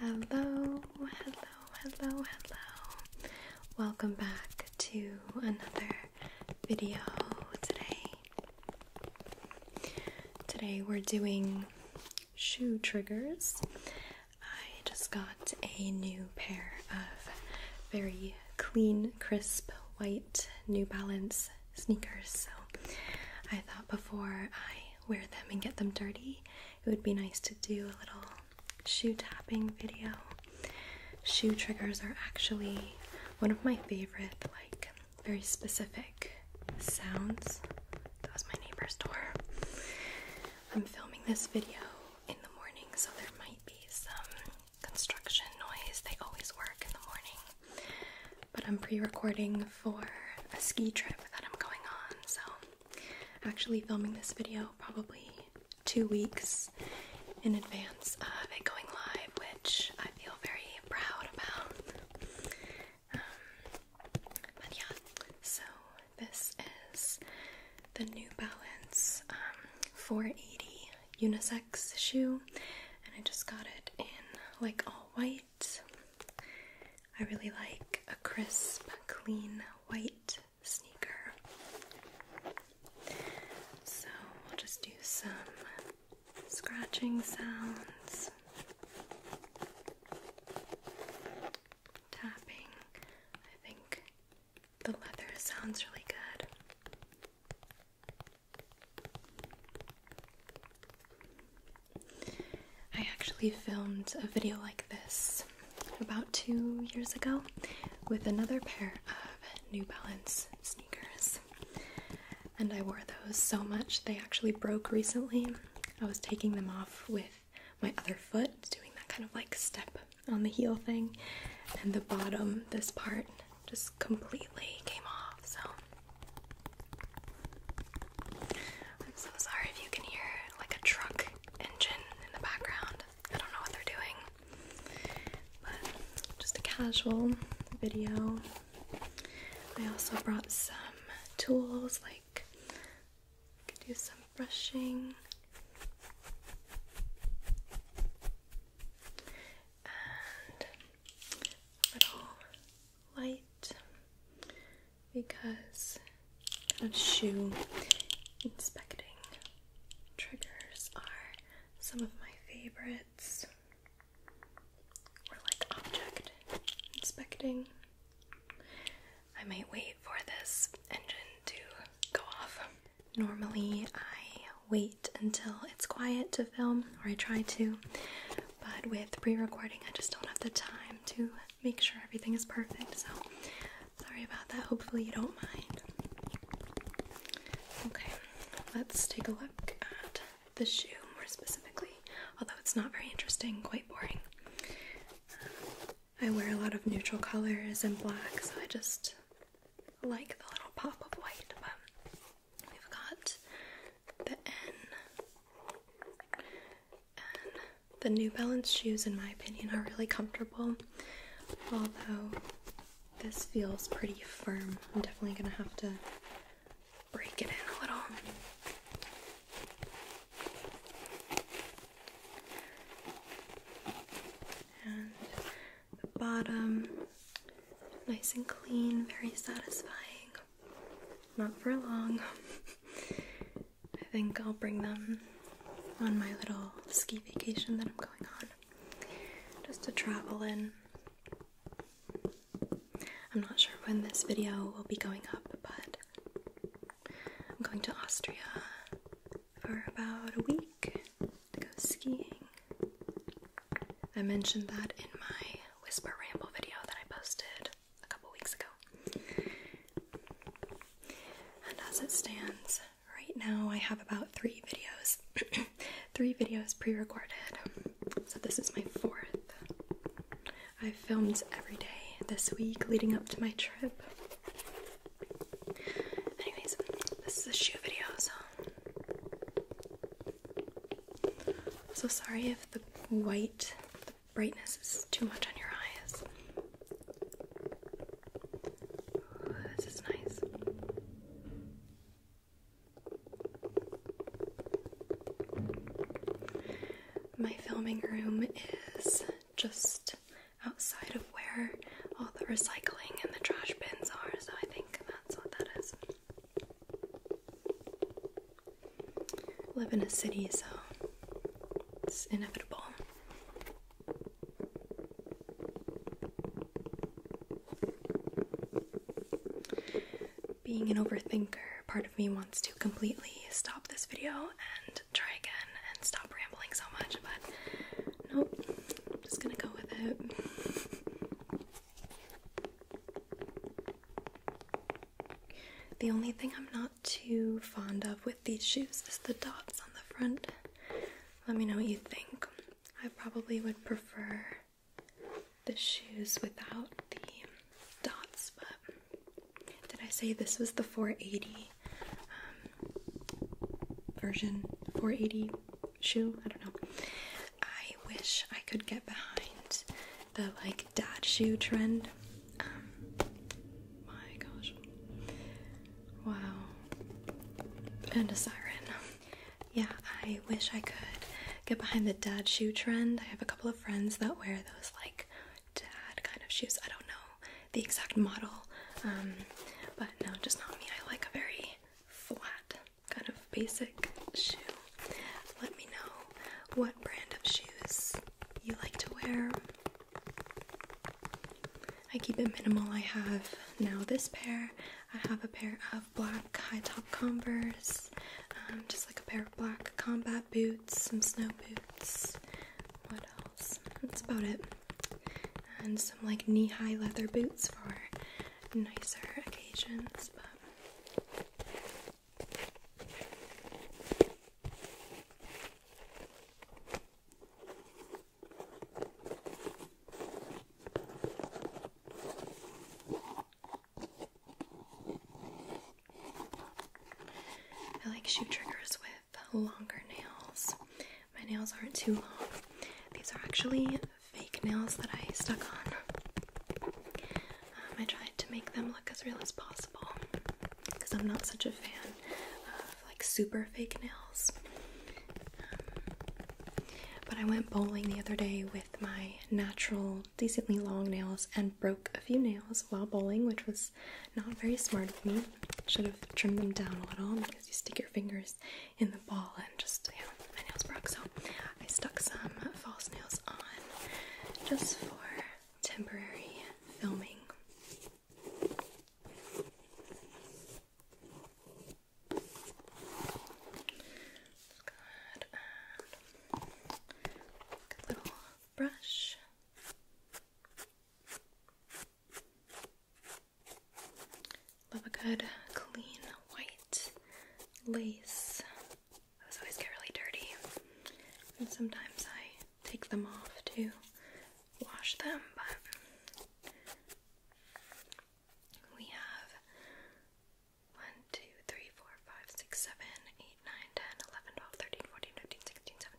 Hello, hello, hello, hello. Welcome back to another video today. Today we're doing shoe triggers. I just got a new pair of very clean, crisp, white New Balance sneakers, so I thought before I wear them and get them dirty, it would be nice to do a little shoe tapping video. Shoe triggers are actually one of my favorite, like very specific sounds. That was my neighbor's door. I'm filming this video in the morning, so there might be some construction noise. They always work in the morning. But I'm pre recording for a ski trip that I'm going on, so actually filming this video probably two weeks in advance of it going live, which I feel very proud about. Um, but yeah, so this is the New Balance um, 480 unisex shoe, and I just got it in like all white. I really like a crisp, clean white sneaker. So we'll just do some scratching sounds, tapping. I think the leather sounds really good. I actually filmed a video like this about two years ago with another pair of New Balance sneakers. And I wore those so much they actually broke recently. I was taking them off with my other foot, doing that kind of like step on the heel thing, and the bottom, this part, just completely came off, so I'm so sorry if you can hear like a truck engine in the background. I don't know what they're doing, but just a casual video. I also brought some tools like I could do some brushing and a little light because kind of shoe inspecting triggers are some of my favorites. Or like object inspecting. I might wait for this engine to go off Normally, I wait until it's quiet to film, or I try to, but with pre recording, I just don't have the time to make sure everything is perfect. So, sorry about that. Hopefully, you don't mind. Okay, let's take a look at the shoe more specifically, although it's not very interesting, quite boring. I wear a lot of neutral colors and black, so I just like the little pop of white, but we've got the N. the New Balance shoes, in my opinion, are really comfortable, although this feels pretty firm. I'm definitely gonna have to break it in a little the bottom. Nice and clean, very satisfying. Not for long. I think I'll bring them on my little ski vacation that I'm going on just to travel in. I'm not sure when this video will be going up, but I'm going to Austria for about a week go skiing. I mentioned that in my Whisper Ramble video that I posted a couple weeks ago. And as it stands, right now I have about three videos, three videos pre recorded. So this is my fourth. I've filmed every day this week leading up to my trip. Anyways, this is a shoe video, so so sorry if the white the brightness is too much on your eyes. this is nice. My filming room is just outside of where all the recycling and the trash bins are, so I think that's what that is. Live in a city, so it's inevitable. Being an overthinker, part of me wants to completely stop this video and try again and stop rambling so much, but nope, I'm just gonna go with it. The only thing I'm not too fond of with these shoes is the dots on the front. Let me know what you think. I probably would prefer the shoes without the dots, but did I say this was the 480? Um, version 480 shoe. I don't know. I wish I could get behind the like dad shoe trend. Um, my gosh. Wow. And a siren. Yeah, I wish I could get behind the dad shoe trend. I have a couple of friends that wear those like dad kind of shoes. I don't know the exact model, um, but no, just not me. I like a very flat, kind of basic shoe. Let me know what brand of shoes you like to wear. I keep it minimal. I have now this pair. I have a pair of black high top Converse, um, just like a pair of black combat boots, some snow boots, what else? That's about it. And some like knee high leather boots for nicer occasions, but. I like shoe triggers with longer nails. My nails aren't too long. These are actually fake nails that I stuck on. Um, I tried to make them look as real as possible because I'm not such a fan of like super fake nails. Um, but I went bowling the other day with my natural, decently long nails and broke a few nails while bowling, which was not very smart of me should have trimmed them down a little because you stick your fingers in the ball and just, yeah, my nails broke. So I stuck some false nails on just for temporary filming. Just got um, a little brush. Love a good clean white lace. Those always get really dirty. And sometimes I take them off to wash them, but we have 1, 2, 3, 4, 5, 6, 7, 8, 9, 10, 11, 12, 13, 14, 15, 16, 17.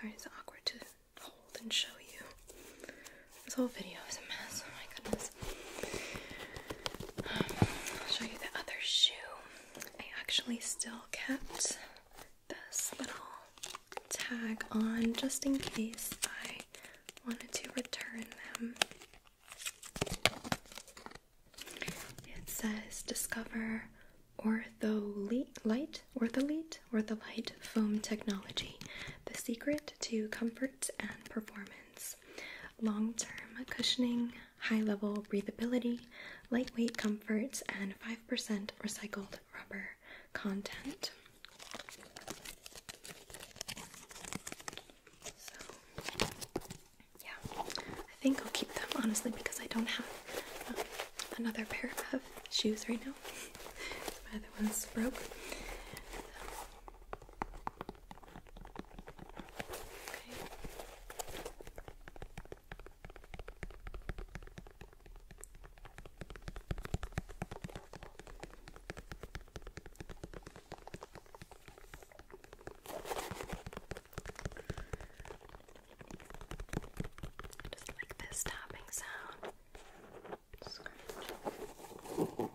Sorry, it's awkward to hold and show you. This whole video is a mess. Oh my goodness. Um, I'll show you the other shoe. I actually still kept this little tag on just in case I wanted to return them. It says discover ortholite, light, ortholite, ortholite foam technology, the secret to comfort and performance. Long-term cushioning, high-level breathability, lightweight comfort, and 5% recycled rubber content. So yeah, I think I'll keep them honestly because I don't have um, another pair of shoes right now. My other one's broke. I just like this tapping sound. Scratch.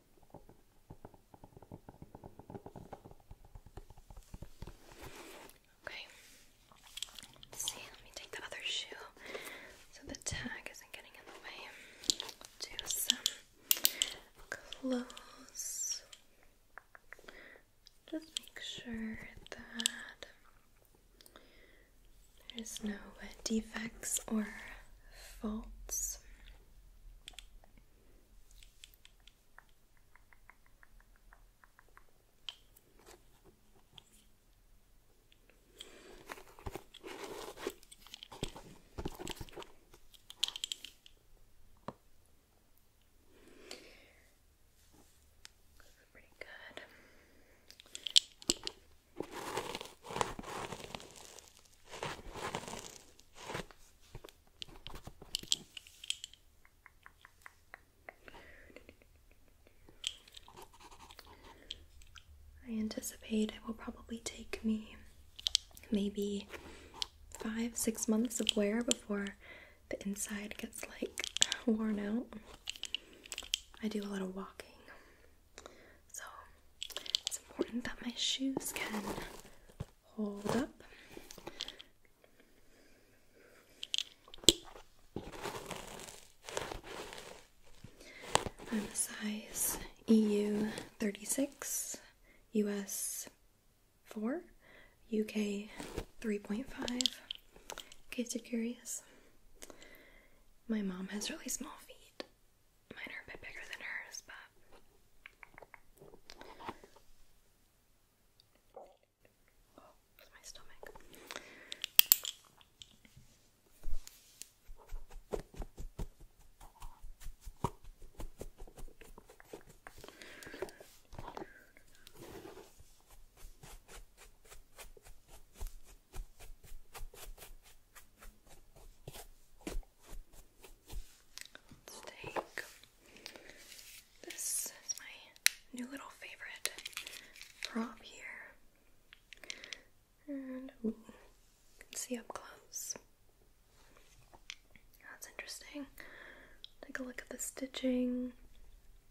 Okay. let see, let me take the other shoe so the tag isn't getting in the way. Do some close. Just make sure that there's no defects or faults. Pretty good. I anticipate it will probably take me maybe five, six months of wear before the inside gets like worn out. I do a lot of walking. So it's important that my shoes can hold up. I'm a size EU 36, US 4, UK 3.5, in case you're curious. My mom has really small feet. Mine are a bit bigger than hers, but. Oh, my stomach. Let's take this is my new little favorite prop here. And see up close. That's interesting. Take a look at the stitching.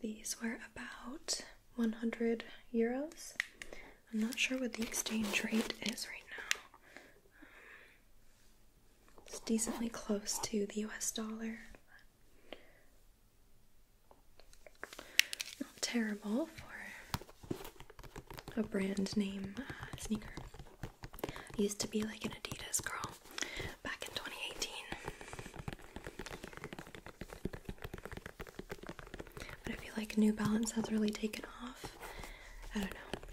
These were about 100 euros. I'm not sure what the exchange rate is right now. Um, it's decently close to the US dollar. Not terrible for a brand name uh, sneaker. used to be like an Adidas girl back in 2018. But I feel like New Balance has really taken off. I don't know.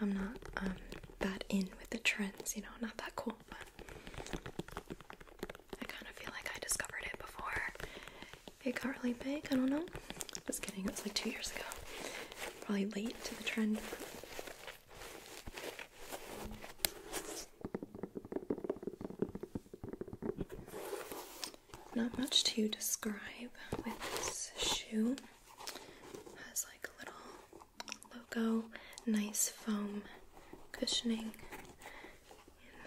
I'm not um, that in with the trends, you know, not that cool, but I kind of feel like I discovered it before big got really big. I don't know. Just kidding. It was like two years ago. Probably late to the trend. Not much to describe with this shoe. Has like a little logo, nice foam cushioning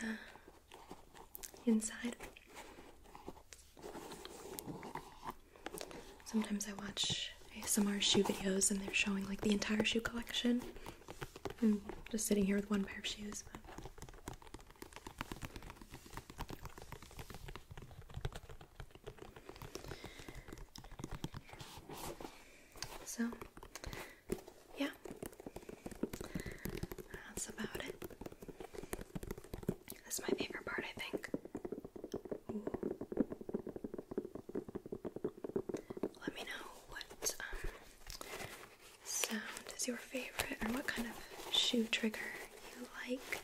in the inside. Sometimes I watch ASMR shoe videos and they're showing like the entire shoe collection. I'm hmm, just sitting here with one pair of shoes. But... So, yeah, that's about it. This is my favorite part, I think. Let me know what um, sound is your favorite or what kind of shoe trigger you Like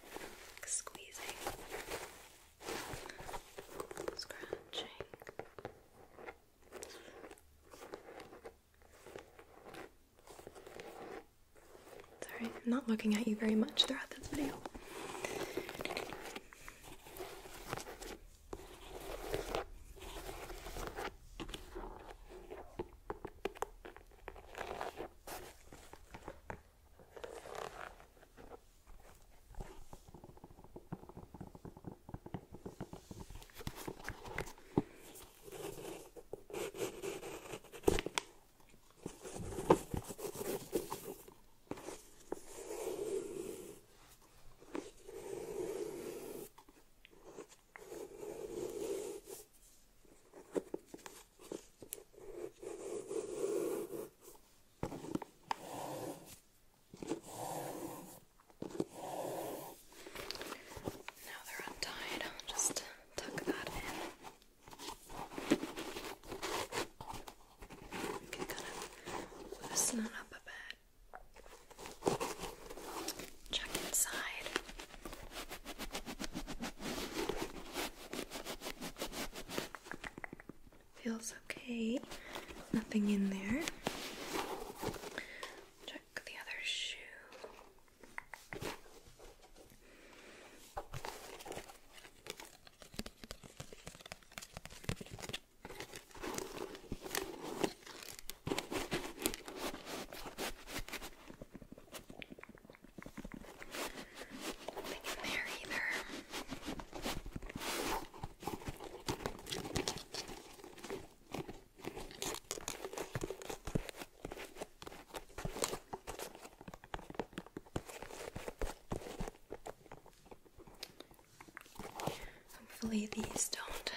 squeezing, scratching. Sorry, I'm not looking at you very much throughout this video. Now they're untied, I'll just tuck that in. Okay, kind of loosen it up a bit. Check inside. Feels okay. Nothing in there. Check the other shoe. Nothing in there either. Okay. Hopefully, these don't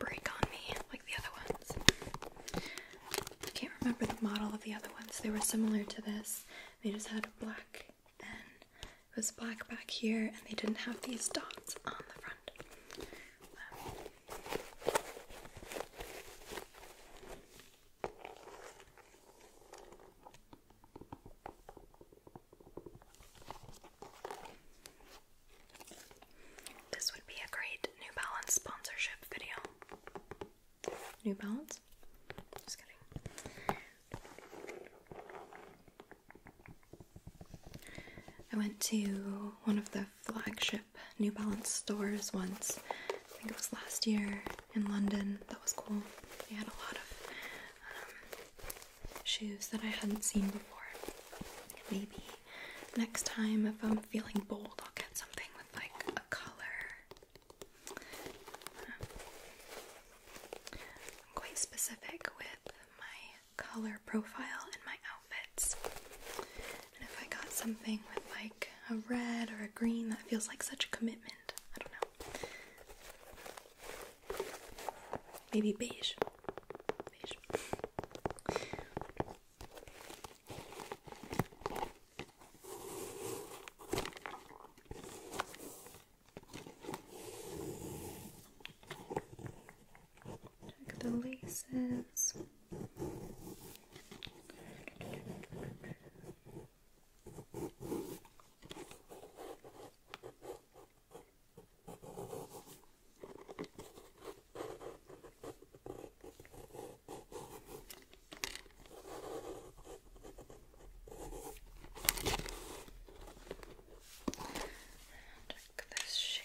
break on me like the other ones. I can't remember the model of the other ones, they were similar to this. They just had black and it was black back here, and they didn't have these dots on the front. Um, this would be a great New Balance sponsorship video. New Balance? Just kidding. I went to one of the flagship New Balance stores once. I think it was last year in London. That was cool. They had a lot of um, shoes that I hadn't seen before. Maybe next time, if I'm feeling bold, I'll get something with like a color. Um, I'm quite specific with my color profile in my outfits. And if I got something with like a red or a green, that feels like such a commitment. I don't know. Maybe beige. Beige. Check the laces. Check this shoe.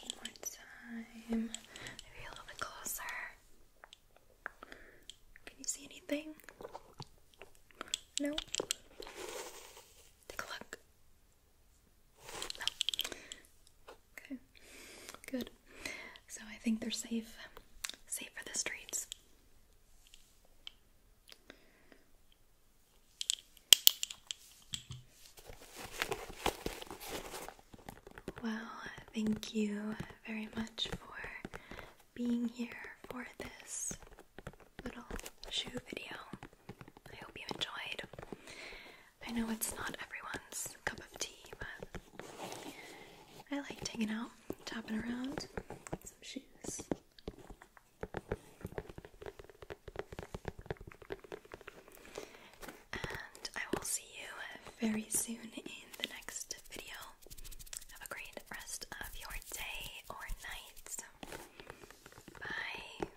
One more time. Maybe a little bit closer. Can you see anything? No? Take a look. No. Okay. Good. So I think they're safe. Safe for the streets. Well, thank you very much for being here for this little shoe video. I hope you enjoyed. I know it's not everyone's cup of tea, but I like hanging out, topping around, some shoes. And I will see you very soon in the next video. Have a great rest of your day or night. Bye.